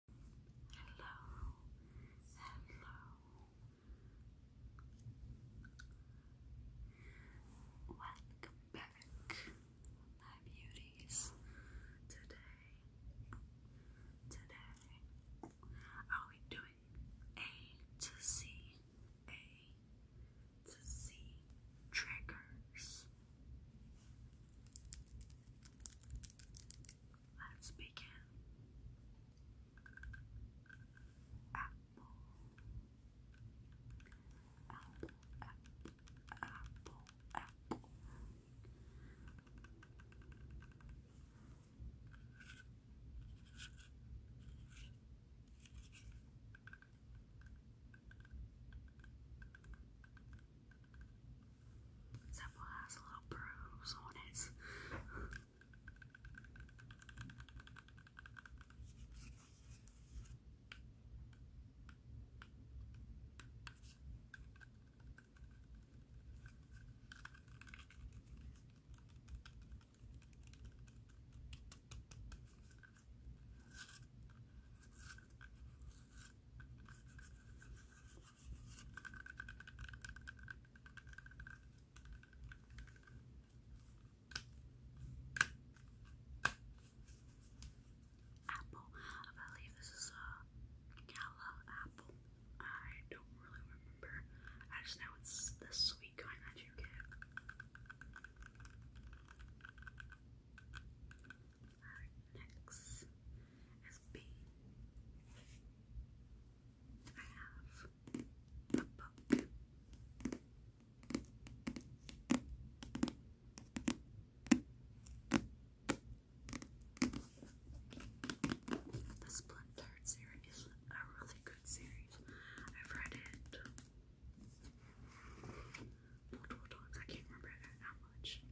Hello, hello. Welcome back, my beauties. Today, today, are we doing A to Z, A to Z triggers? Let's begin. Apple. Apple, apple, apple, Sample has a little bruise on his. Apple. I believe this is a gala apple. I don't really remember. I just know it's the sweet kind that you get our necks as have a book. The Splintered series is a really good series. I've read it multiple times. I can't remember how much.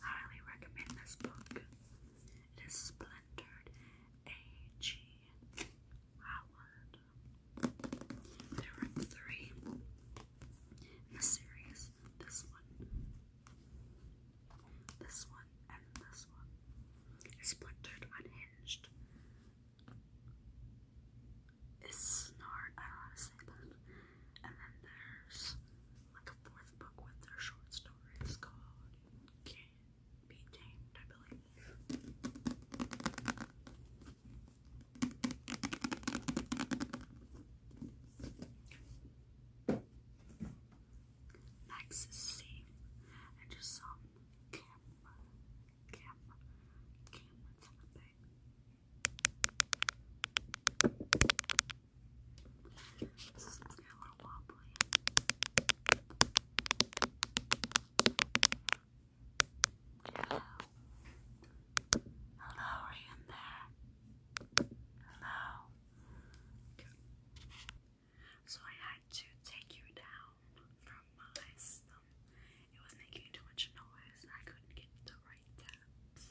Highly recommend this book. It is splintered A.G. Howard. There were three in the series. This one, this one, and this one. Splintered, unhinged is Snart, I don't know to say that. And then there's like a fourth book with their short stories called Can't Be Tamed, I believe. Next is I just saw camera, camera, camera tapping. This is camera wobbly. Hello. Hello, are you in there? Hello. So I had to take you down from my system. It was making too much noise and I couldn't get the right taps.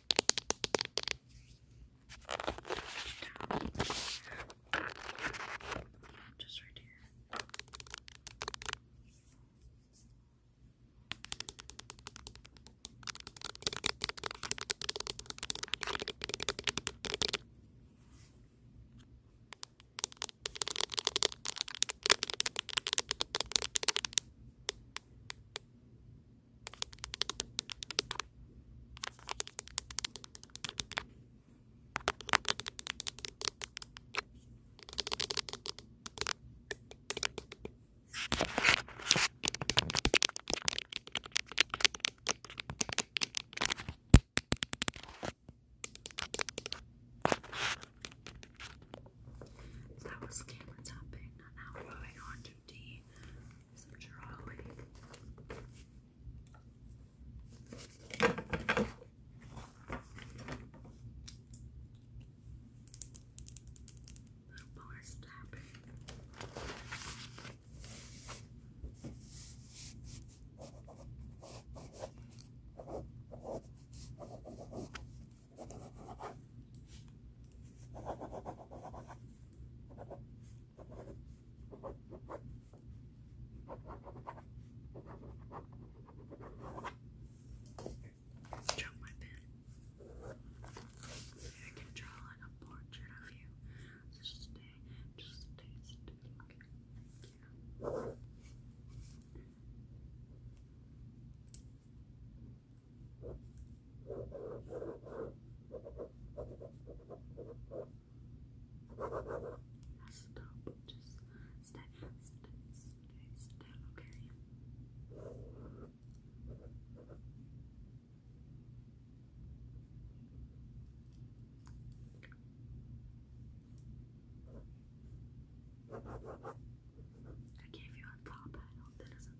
Just right here. Okay. That was camera tapping, and now we're going on to the some drawing. Little bonus tapping. Drop my pen. I can draw a portrait of you. just stay, just stay, stay. Okay. Yeah. Now stop. Just stay, stay, stay still, okay? I gave you a top I hope that doesn't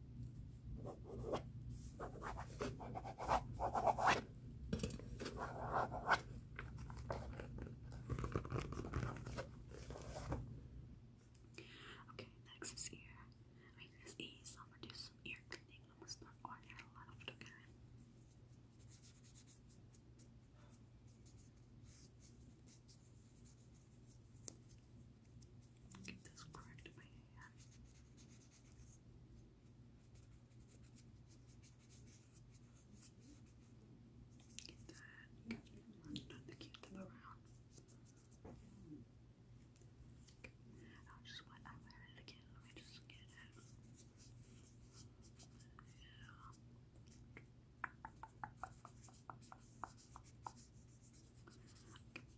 Okay, next is ear. I mean, this is I'll reduce some ear cleaning almost not on your left, Okay. Get this correct in my hand. Get that. Not to keep them around. I'll just wet out my hand again. Let me just get it. Yeah.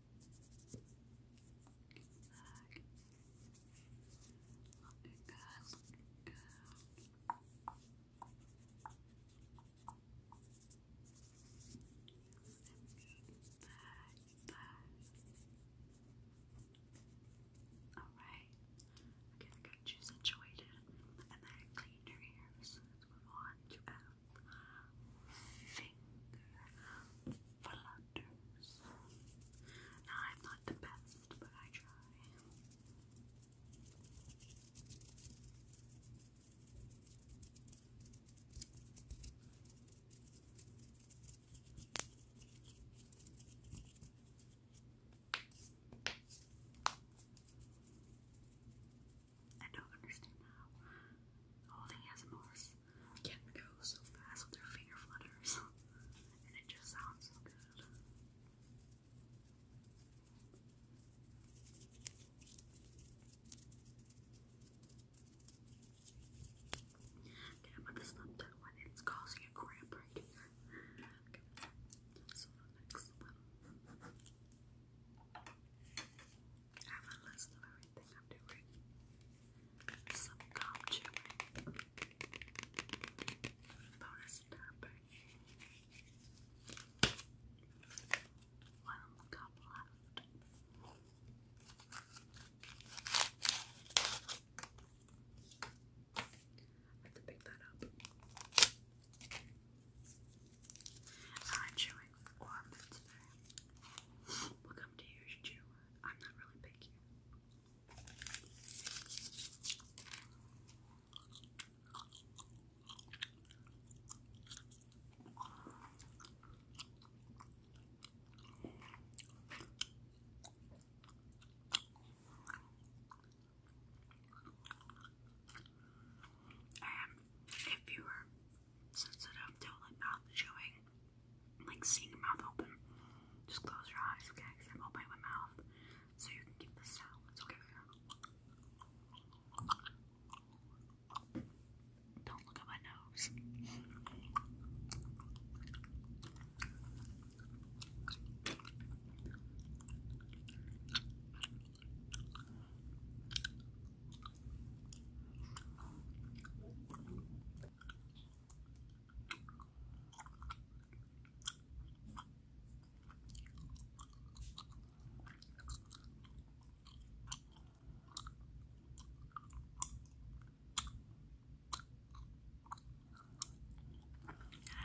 Back. Looking good, looking Back, back. Alright. Again, get you situated and then clean your ears. Let's move on to finger flutters. I'm not the best, but I try. I don't understand how holding has more can not go so fast with their finger flutters, and it just sounds so good. Okay, I'm gonna snap that one. It's causing a cramp right here. Okay, so the next one. I have a list of everything I'm doing. Some gum chewing. Bonus tapping. One cup left. I have to pick that up. i chewing warm um, We'll come to yours too. I'm not really picky. And if you were sensitive to like mouth chewing, like seeing your mouth open. Just close your eyes, okay? I'm opening my mouth, so you can get the sound. okay. Don't look at my nose.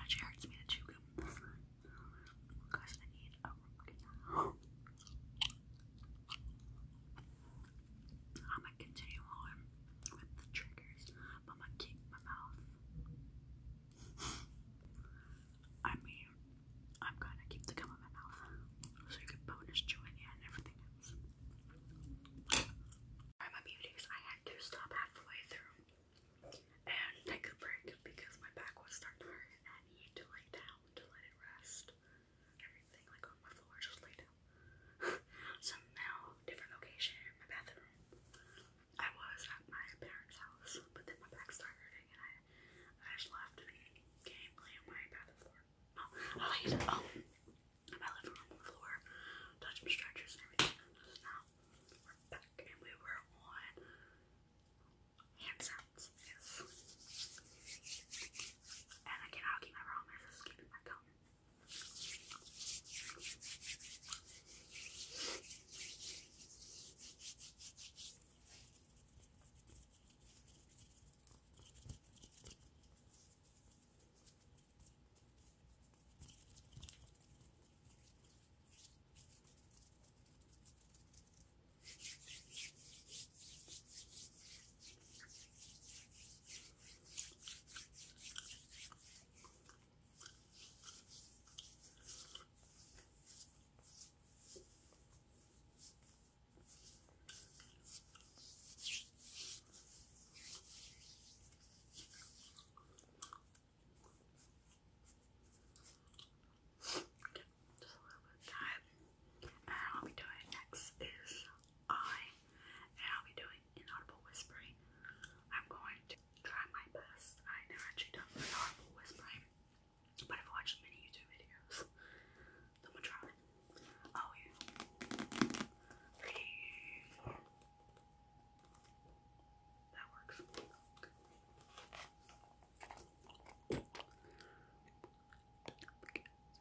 It actually hurts me to chew gum because I need a root canal. I'm gonna continue on with the triggers, but I'm gonna keep my mouth. I mean, I'm gonna keep the gum in my mouth so you can bonus chew in and everything else. Alright, my beauties, I had to stop halfway through and take a break because my back was starting to hurt and I needed to lay down to let it rest everything like on my floor, just laid down. so now, different location, my bathroom. I was at my parents' house, but then my back started hurting and I, I just left and came lay on my bathroom floor. No, I laid um, on my living room floor, touched my stretchers and everything. Just now, we're back and we were on hand sounds. Yes. And I cannot keep my promise of keeping my gum. Okay, just a little bit of time. And what we doing next is I, and I'll be doing inaudible whispering. I'm going to try my best. I never actually done inaudible whispering, but I've watched many YouTube videos. I'm gonna try. Oh yeah. Breathe. That works.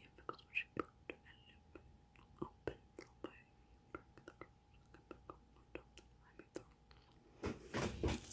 Yeah, because when she broke the envelope, opened the way, broke the curse, like a back on top of the I love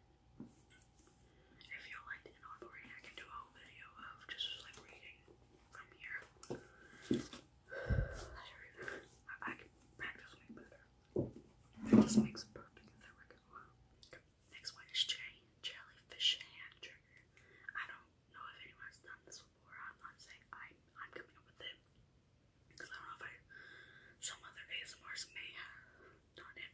If you like an audible I can do a whole video of just like reading from here. My back practice way better. This makes perfect as I reckon. Next one is J Jellyfish Hand Trigger. I don't know if anyone's done this before. I'm not saying I am coming up with it. Because I don't know if I some other ASMRs may have done it.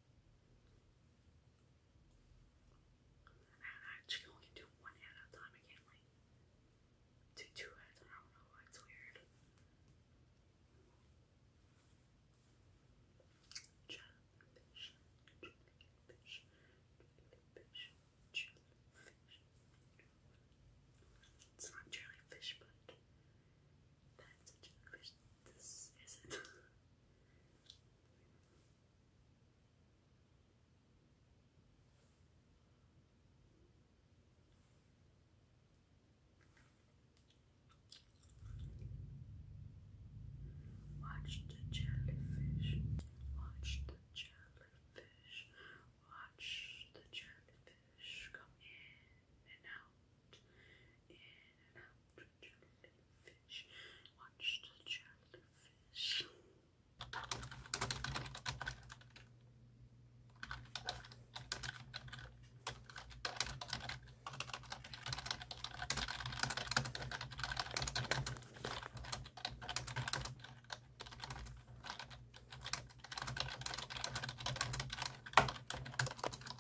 I actually only do one at a time. I can't like do two at I don't know. It's weird. It's not jellyfish, but that's jellyfish. This isn't. Watch the jellyfish. Watch the jellyfish. Watch the jellyfish come in and out. In and out the jellyfish. Watch the jellyfish. Now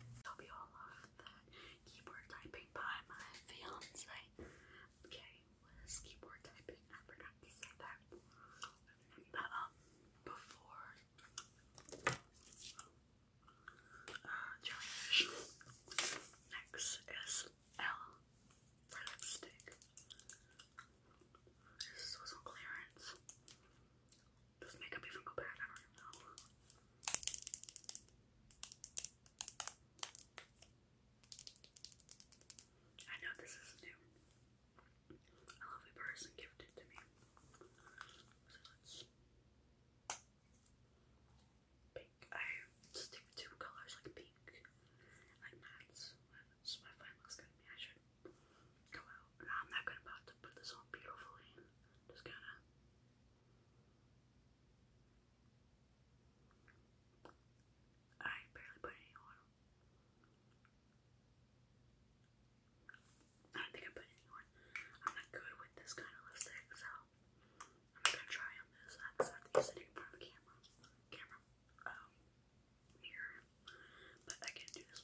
hope you all love that keyboard typing by my fiance. Okay, was keyboard typing. I forgot to say that. But um, before uh, next is L for lipstick. This was on clearance. Does makeup even go bad? I don't know. I know this is new. A lovely person gifted to me. So let's pink. I stick with two colors like pink, like that's That's my fine looks gonna be come out. I'm not gonna about to put this on beautifully. Just kind of I barely put any on. I don't think I put any on. I'm not good with this kind of lipstick, so I'm gonna try on this. I just sitting in front of the camera, camera, mirror. Um, but I can do this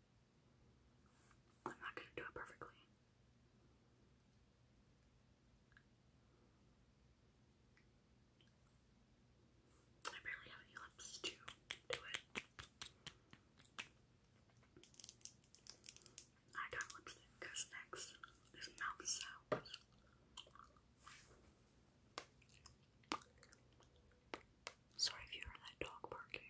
I'm not going to do it perfectly. I barely have any lips to do it. I got lipstick because next is mouth sounds. Sorry if you heard that dog barking.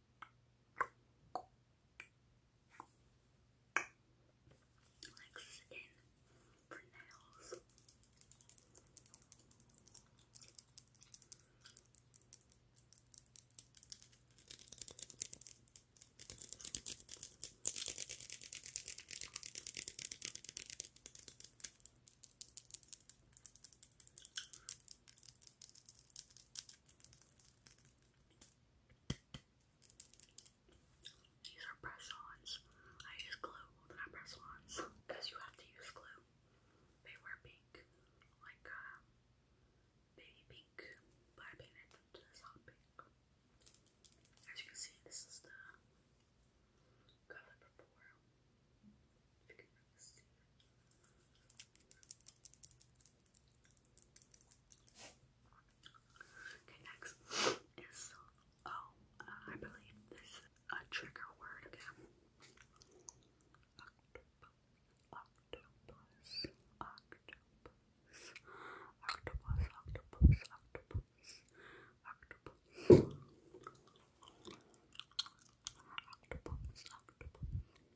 Relaxes again for nails. These are press-ons. I use glue, well they press-ons, because you have to use glue. They were pink, like uh, baby pink, but I painted them to hot pink. As you can see, this is the color before. you can really see Okay, next is oh, uh, believe this is a trigger word again. octopus, octopus, octopus, octopus, octopus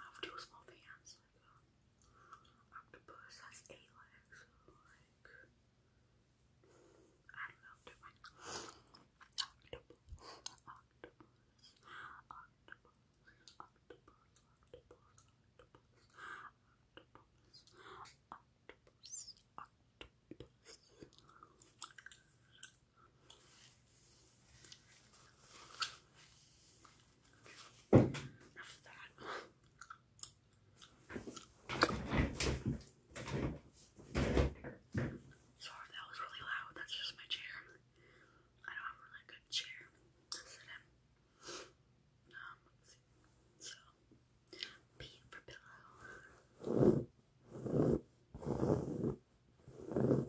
I have two small hands, octopus has eight legs, I don't octopus, octopus, octopus, octopus, octopus, octopus, octopus, octopus. Sorry, that was really loud. That's just my chair. I don't have a really good chair um, so, B for pillow.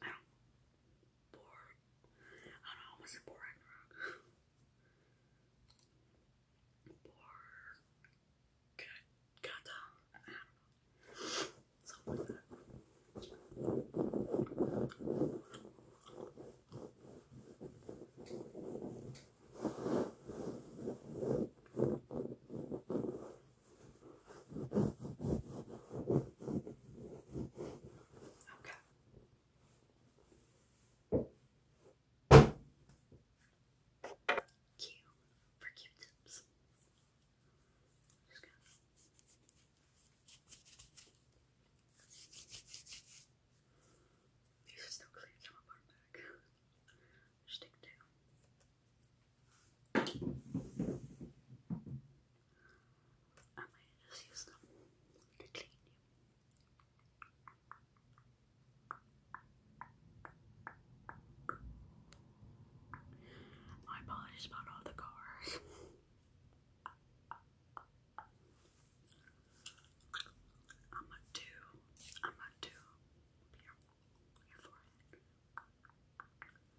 I don't know. I don't know, I almost said Bor Ragnarok. I don't know. Something like that. Okay. Q for Q Just gonna these are still clear, some of them are back. I might just use them to clean you. My apologies about all the cars. I'm gonna do, I'm gonna do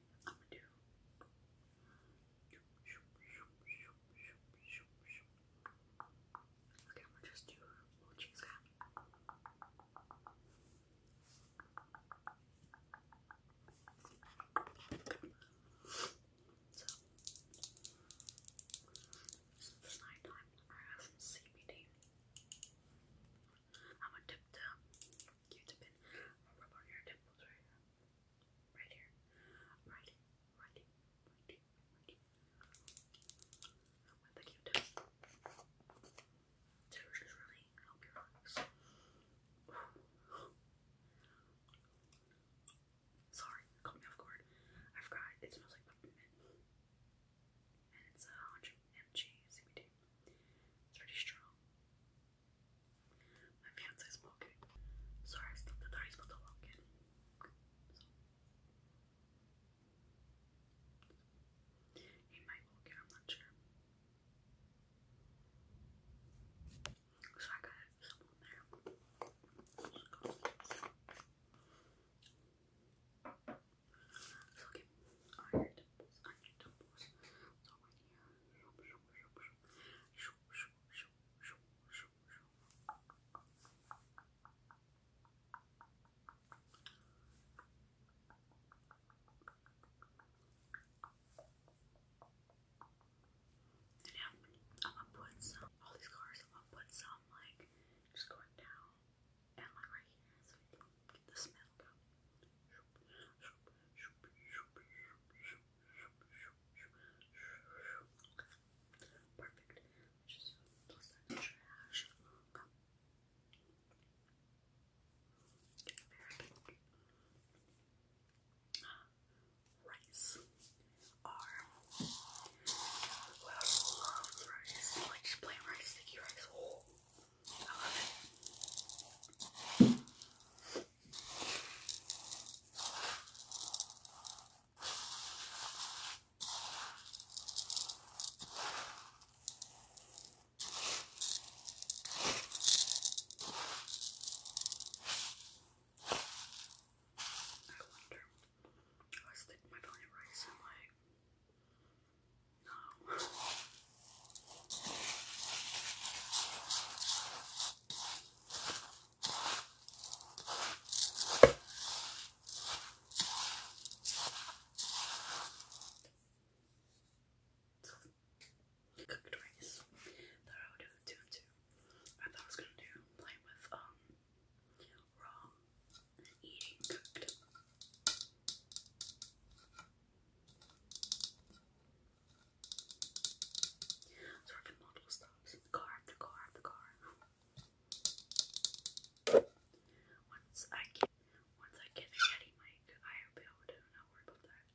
I'm Okay, I'm gonna just do So, since it's night time, I have some I'm gonna dip the you to pin or rub on your temples right here. Right here. Right here. Right here. With the Q-tip. To just really help your eyes. Sorry, caught me off guard. I forgot. It smells like peppermint. And it's a uh, 100 mg CBD. It's pretty strong. My fiance's smoking. Sorry, I stuck the dice, but the lock He might walk in, I'm not sure. So I got someone So, okay, on your temples, on your and now I'm gonna put some all these cars I'm gonna put some like just going down and like right here you Get the Perfect. Just toss that trash. Uh, okay. Rice. I love rice. Like plain rice, sticky rice. I love wonder, I was thinking my belly Cooked rice that I would do two and two. I thought I was gonna do play with um raw eating cooked. Sort of model stops. car, the car, the car. Once I get, once I get a Yeti I'll be able to not worry about that.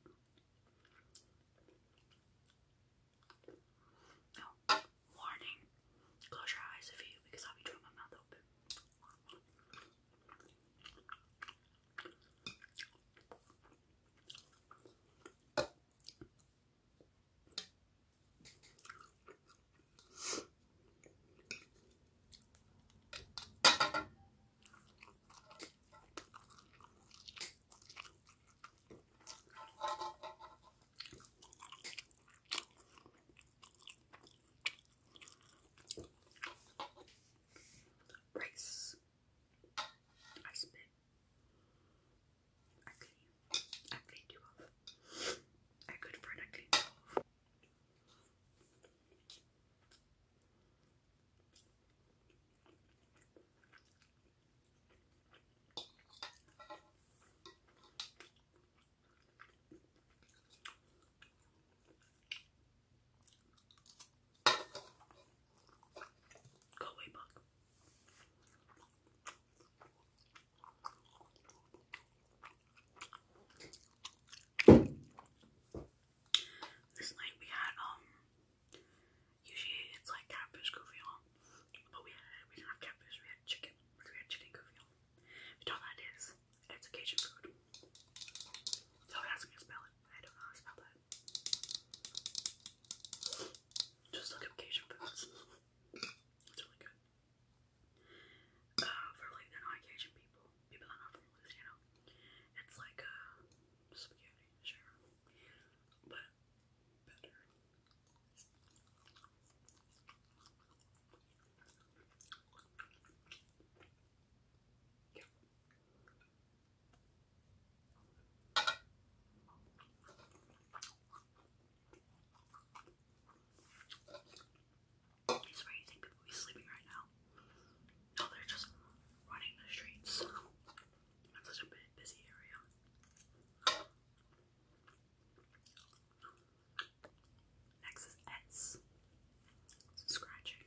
No, warning. Close your eyes if you, because I'll be doing my mouth open. Rice. I spit. I clean. I cleaned you off. I good friend, I cleaned you off. Go away, This night we had um usually it's like catfish gouvillon, but we had we didn't have catfish, we had chicken, we had chicken gouvillon. Which all that is, it's Cajun food. So ask me to spell it. I don't know how to spell that. Just look up foods. It's really good. Uh, for like non Cajun people, people that are not from Louisiana, it's like uh, spaghetti, sure, but better. It's where you people be sleeping right now. No, oh, they're just running the streets. It's such a busy area. Next S. Scratching.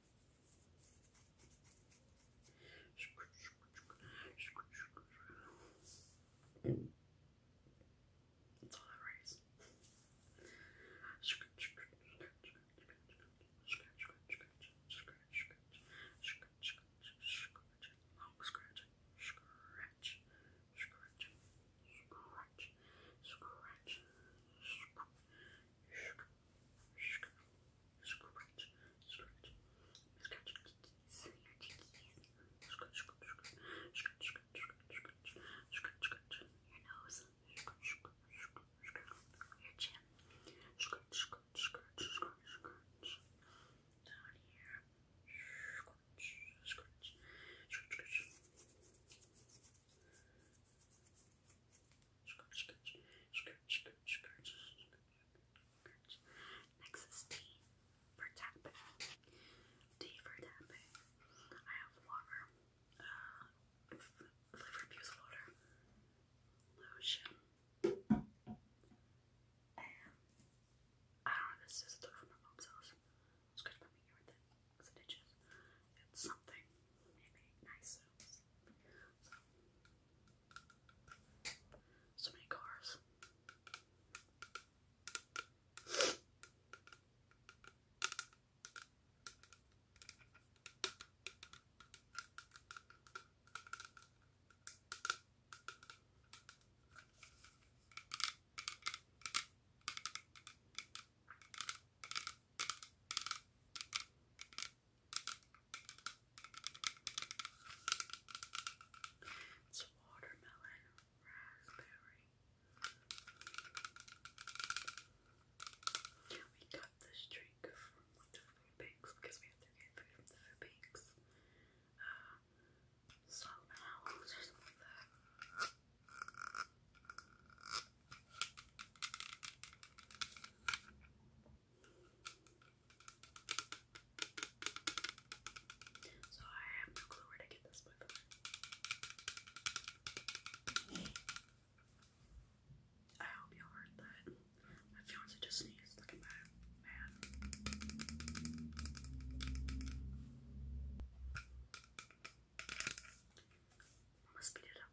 That's all I raise. Scratch, scratch, scratch, scratch, scratch, scratch, scratch, scratch, long scratch, scratch, scratch, scratch, scratch, scratch, Scratch, scratch, scratch, scratch your cheekies, your cheekies. Scratch, scratch, scratch, scratch, scratch, scratch, scratch, scratch. Your nose, scratch, scratch, scratch, scratch. Your chin, scratch, scratch, scratch, scratch, scratch. Down here, scratch, scratch, scratch, scratch. Scratch, scratch, scratch, scratch, scratch, scratch, Crunch. Next T for tapping. T for tapping. I have water. Uh, flavored fuse water. Lotion. And I don't know, this is a from my mom's house. It's good for me here with it because it itches. It's something. Maybe nice so many cars. It's watermelon, raspberry. We got this drink from the food because we have to get food from the uh, food banks. Um, salmon or something so I have no clue where to get this book. I hope y'all heard that. My fiance just sneezed. Look at Man. I'm it up.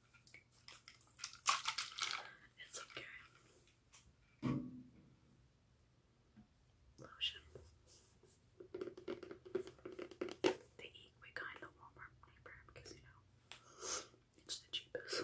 It's okay. Lotion. They eat we kind of Walmart neighbor because you know it's the cheapest.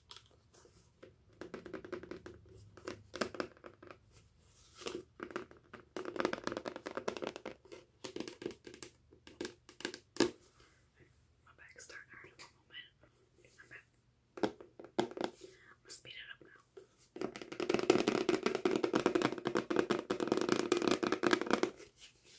My back's starting to hurt in one moment. I'm gonna speed it up now.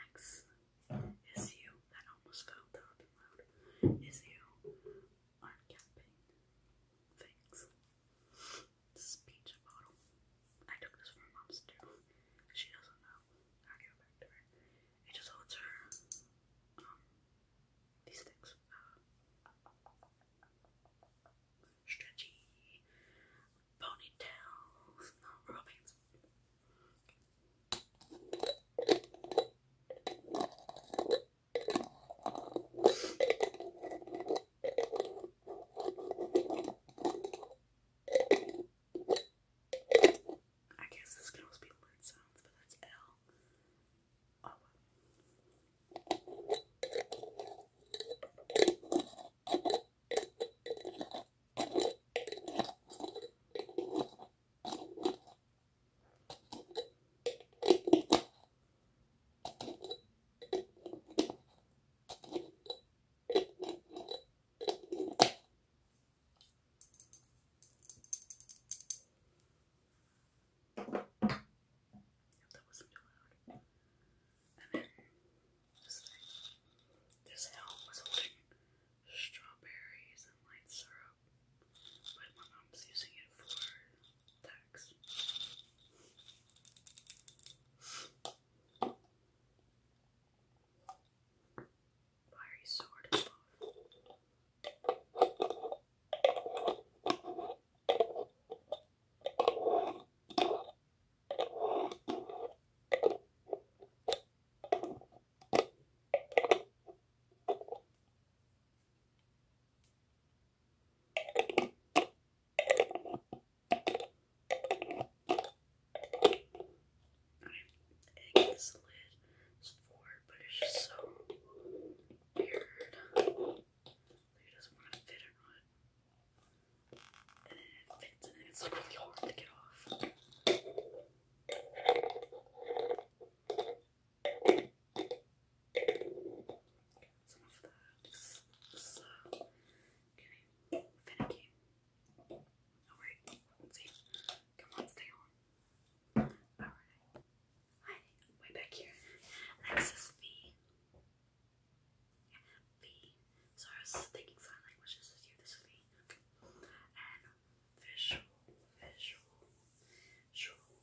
Next is you. That almost fell out loud. Is you art camping things. This is I took this from mom's too. She doesn't know. i give it back to her. It just holds her um these things. Uh, stretchy ponytails, no rubber bands. I guess this can always be word sounds, but that's L. Oh. That wasn't too loud. And then this thing. This helm was holding strawberries and light syrup but my mom's using it for tax. Fiery sword above. I think this lid is forward, but it's just so weird. it doesn't want to fit or not. And then it fits, and then it's like really hard to get off. Some of that is so getting finicky. Alright, let's see. Come on, stay on. Alright. Hi, way back here. Next is V. V. So I was thinking sign language, is you, this is V. And visual, visual, Turtle.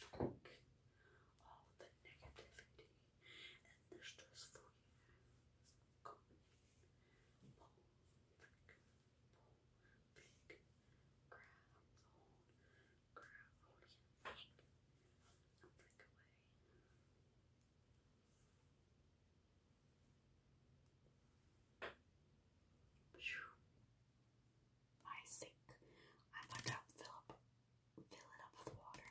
Fuck all the negativity and the stressful years coming. Pull, flick, pull, flick, grab, hold, grab, hold, yeah, flick, and flick away. Phew my sink. I put up fill up fill it up with water.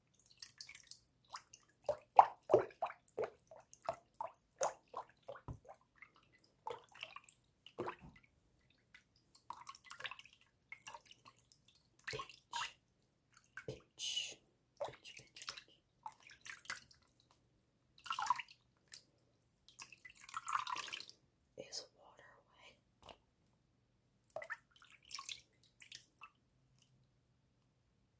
Pinch, pinch, pinch, pinch. Is water wet?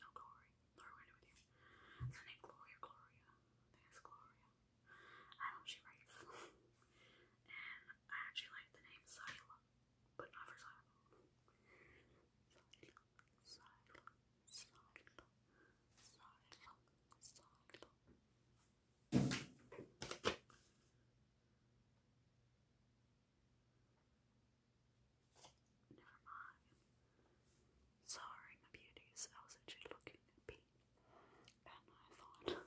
No, Glory. you. Gloria? Gloria. I Gloria. I don't know she writes. and I actually like the name Sila, but not for Sila, Sila, Sila, Sila, Sila. Never mind. Sorry, my beauties. I was actually looking at Pete, and I thought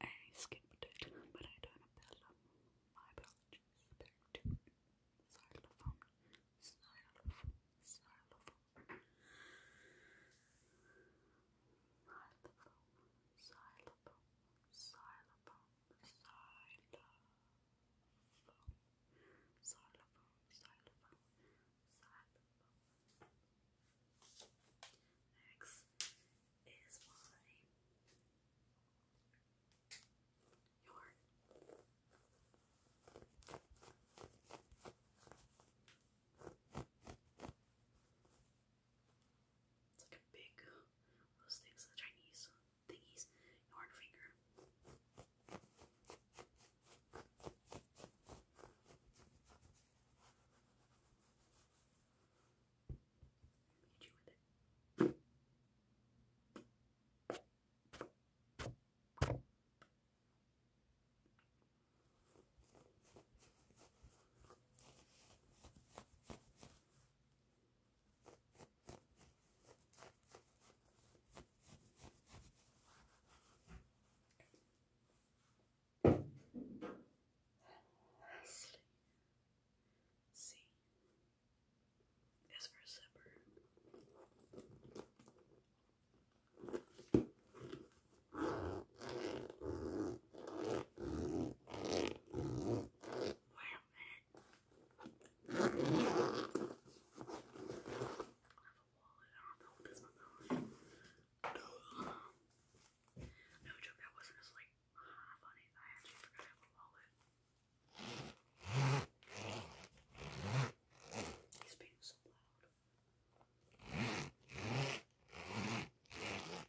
I skipped it, but I don't appeal. My apologies. Xylophone. Xylophone. Xylophone. Xylophone. Xylophone. Xylophone xylophone, xylophone, xylophone, xylophone. Next is my yarn. It's like a big, those things, the Chinese uh, thingies, yarn finger. Lastly, C is for zipper. I have a wallet. I don't know if this one No joke, that wasn't just like funny. I actually forgot I have a wallet. He's being so loud.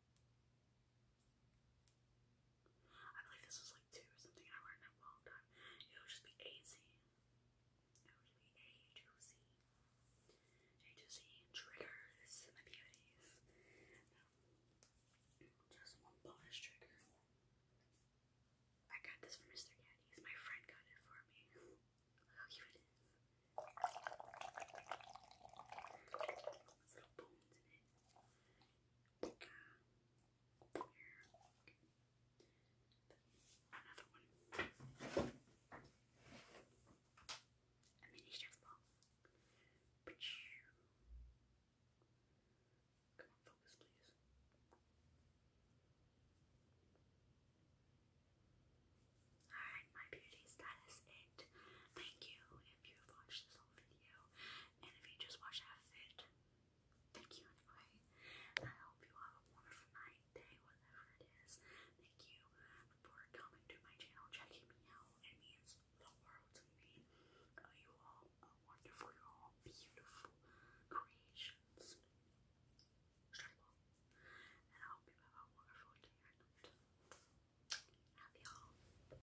I believe this was like two or something I learned a long time. It would just be A and C. to C. A to Z triggers and the beauties. Just one bonus trigger. I got this from Mr. Gaddy's. My friend got it for me. Look how cute it is. Another one. A mini stress ball. Come on, focus, please. Alright, my beauties, that is it. Thank you if you have watched this whole video. And if you just watched half thank you anyway. I hope you have a wonderful night, day, whatever it is. Thank you for coming to my channel, checking me out. It means the world to me. Uh, you all are wonderful. you all beautiful creations. Struggle. And I hope you have a wonderful day or